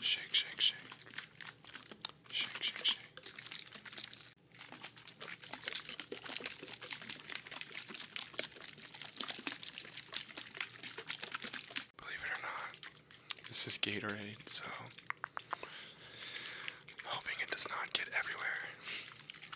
Shake, shake, shake. Shake, shake, Believe it or not, this is Gatorade, so hoping it does not get everywhere.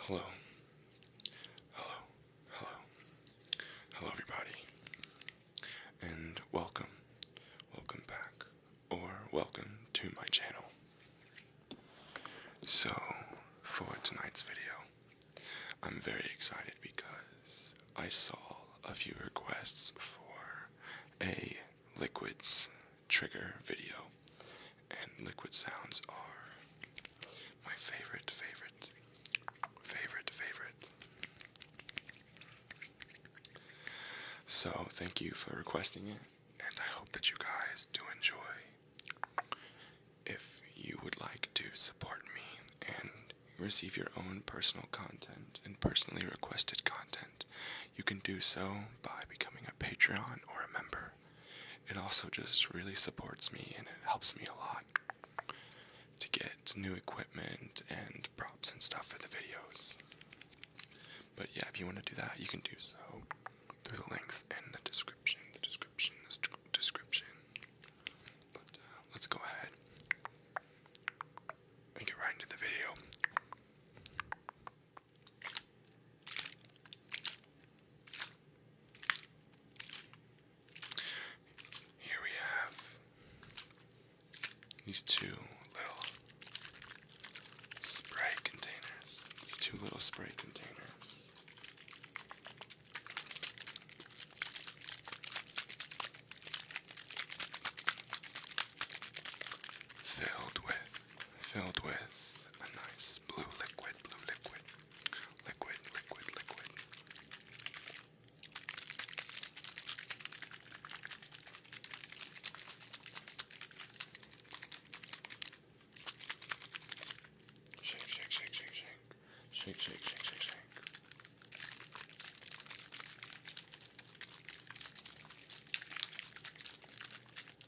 Hello. Hello. Hello. Hello, everybody. And welcome. Welcome back. Or welcome to my channel. So, for tonight's video, I'm very excited because I saw a few requests for a liquids trigger video. And liquid sounds are my favorite, favorite, favorite, favorite. So, thank you for requesting it, and I hope that you guys do enjoy. If you would like to support me and receive your own personal content and personally requested content, you can do so by becoming a Patreon or a member it also just really supports me and it helps me a lot to get new equipment and props and stuff for the videos. But yeah, if you want to do that, you can do so through the links in the description, the description, the description. But uh, let's go ahead and get right into the video. Here we have these two little spray containers. These two little spray containers. Filled with, filled with a nice this blue liquid, blue liquid, liquid, liquid, liquid. Shake, shake, shake, shake, shake. Shake, shake, shake, shake, shake.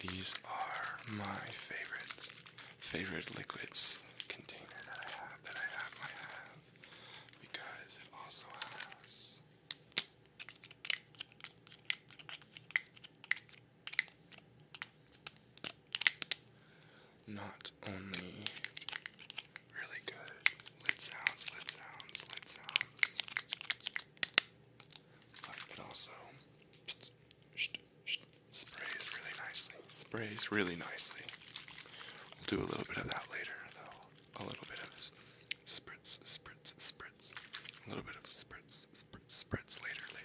These are my favorite favorite liquids container that I have because it also has not only really good lid sounds, lid sounds, lid sounds, but also sprays really nicely. Sprays really nicely. We'll do a little bit of that later, though. A little bit of spritz, spritz, spritz. A little bit of spritz, spritz, spritz later, later.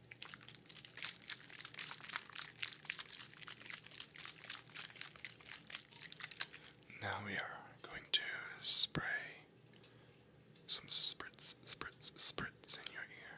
Now we are going to spray some spritz, spritz, spritz in your ear.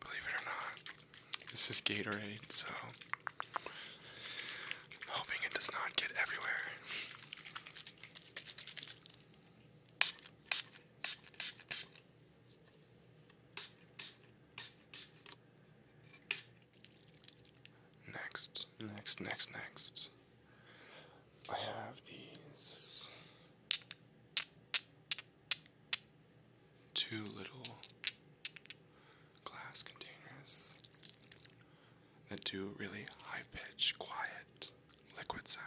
Believe it or not, this is Gatorade, so hoping it does not get everywhere. Next, next, next, next. I have these two little glass containers that do really high pitched, quiet, liquid sounds.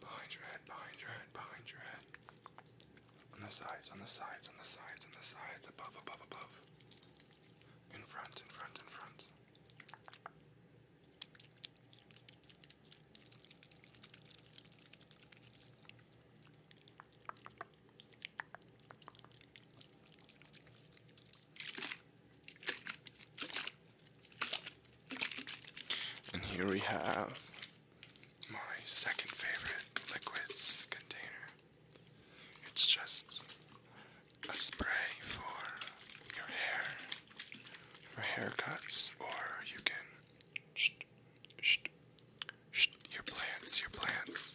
Behind your head, behind your head, behind your head. On the sides, on the sides, on the sides, on the sides, above, above, above. In front, in front, in front. And here we have my second favorite liquids container. It's just a spray for your hair, for haircuts, or you can your plants, your plants.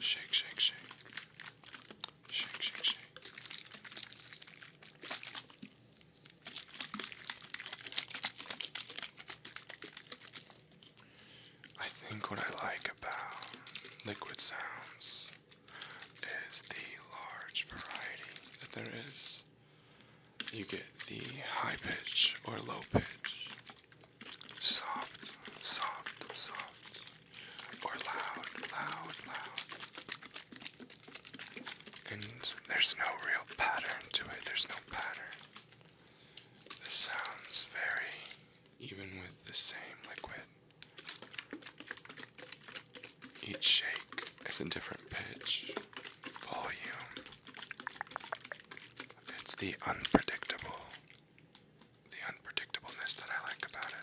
Shake, shake, shake. Shake, shake, shake. I think what I like about liquid sounds is the large variety that there is. You get the high pitch or low pitch, soft, soft, soft, or loud, loud, loud. And there's no real pattern to it, there's no pattern. The sounds vary even with the same liquid. Each shake is a different pitch, volume. It's the unpredictable, the unpredictableness that I like about it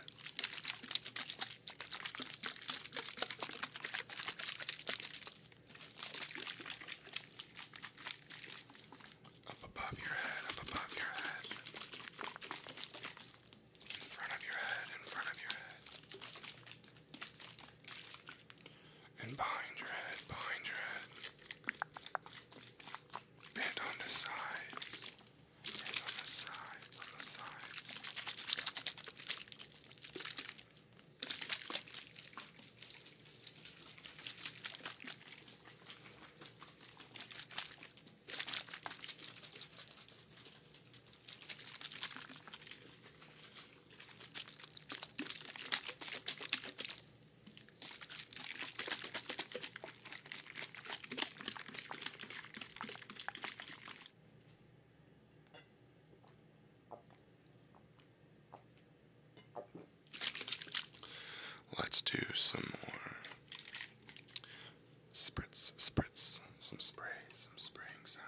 up above your head, up above your head, in front of your head, in front of your head, and behind your head, behind your head, and on the sides, and on the sides, on the sides. Let's do some more Spritz, spritz, some spray, some spraying sounds.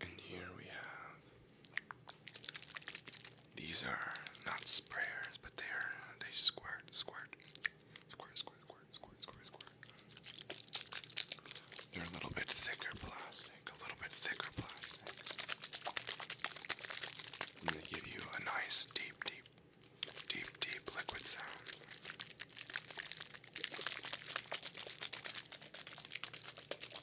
And here we have these are not sprayers, but they are they squirt, squirt, squirt, squirt, squirt, squirt, squirt, squirt. They're a little bit thicker plastic, a little bit thicker plastic. And they give you a nice deep, deep, deep, deep liquid sound.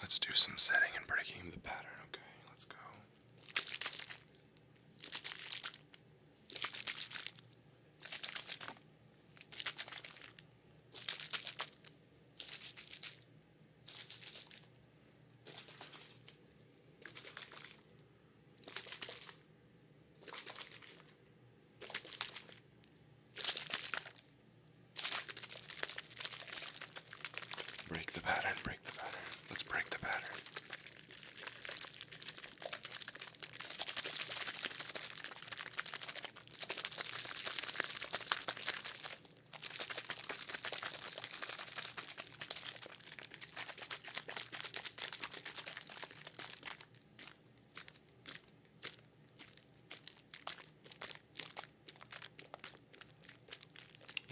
Let's do some setting and breaking of the pattern, okay? Let's go. Break the pattern, break the pattern. Let's break the pattern.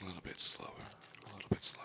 A little bit slower, a little bit slower.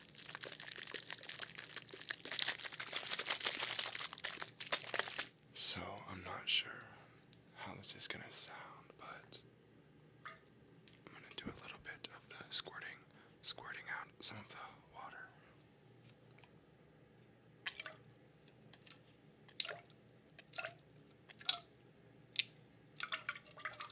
So, I'm not sure how this is going to sound, but I'm going to do a little bit of the squirting, squirting out some of the water.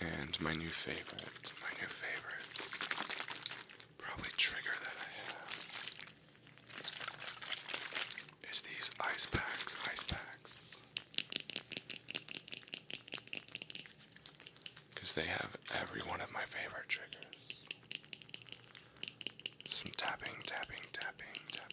And my new favorite, my new favorite, probably trigger that I have, is these ice packs, ice packs. Because they have every one of my favorite triggers. Some tapping, tapping, tapping, tapping.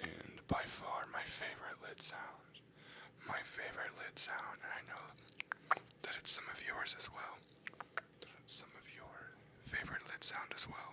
And by far my favorite lid sound, my favorite lid sound, I know that it's some of yours as well, some of your favorite lid sound as well.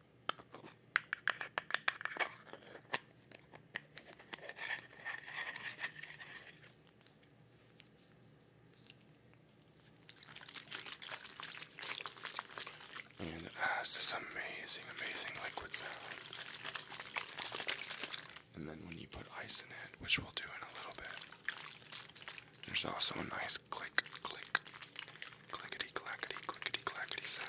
And ah, it this amazing, amazing liquid sound. And then when you put ice in it, which we'll do in a little bit, there's also a nice click, click, clickety clackety clickety clackety sound.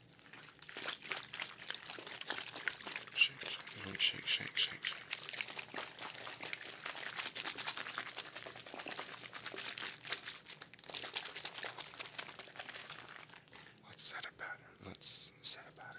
Shake, shake, shake, shake, shake, shake. Let's set a pattern. Let's set a pattern.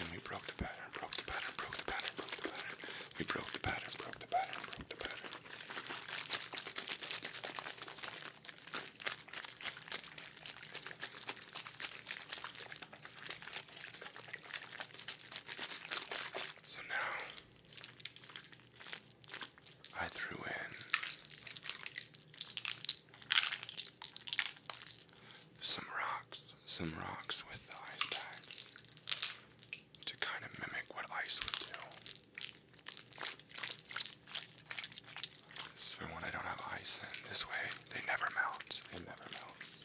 And we broke the pattern, broke the pattern, broke the pattern, broke the pattern. We broke the pattern, broke the pattern, broke the pattern. So now I threw in some rocks, some rocks with ice packs to kind of mimic what ice would do. This for when I don't have ice in. This way, they never melt. It never melts.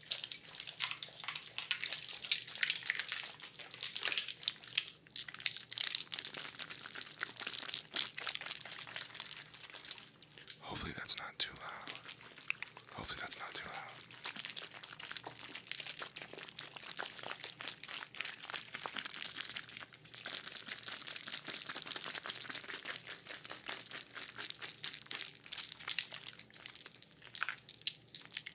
Hopefully that's not too loud. Hopefully that's not too loud.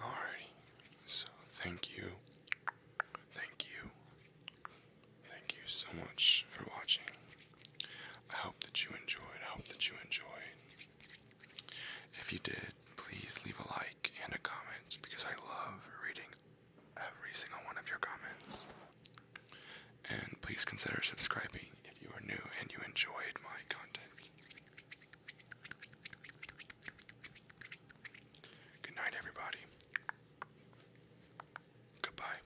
All right. So, thank you. Thank you. Thank you so much for watching. I hope that you enjoyed. I hope that you enjoyed. If you did, please leave a like and a comment because I love reading every single one of your comments. And please consider subscribing if you are new and you enjoyed my content. Good night, everybody. Goodbye.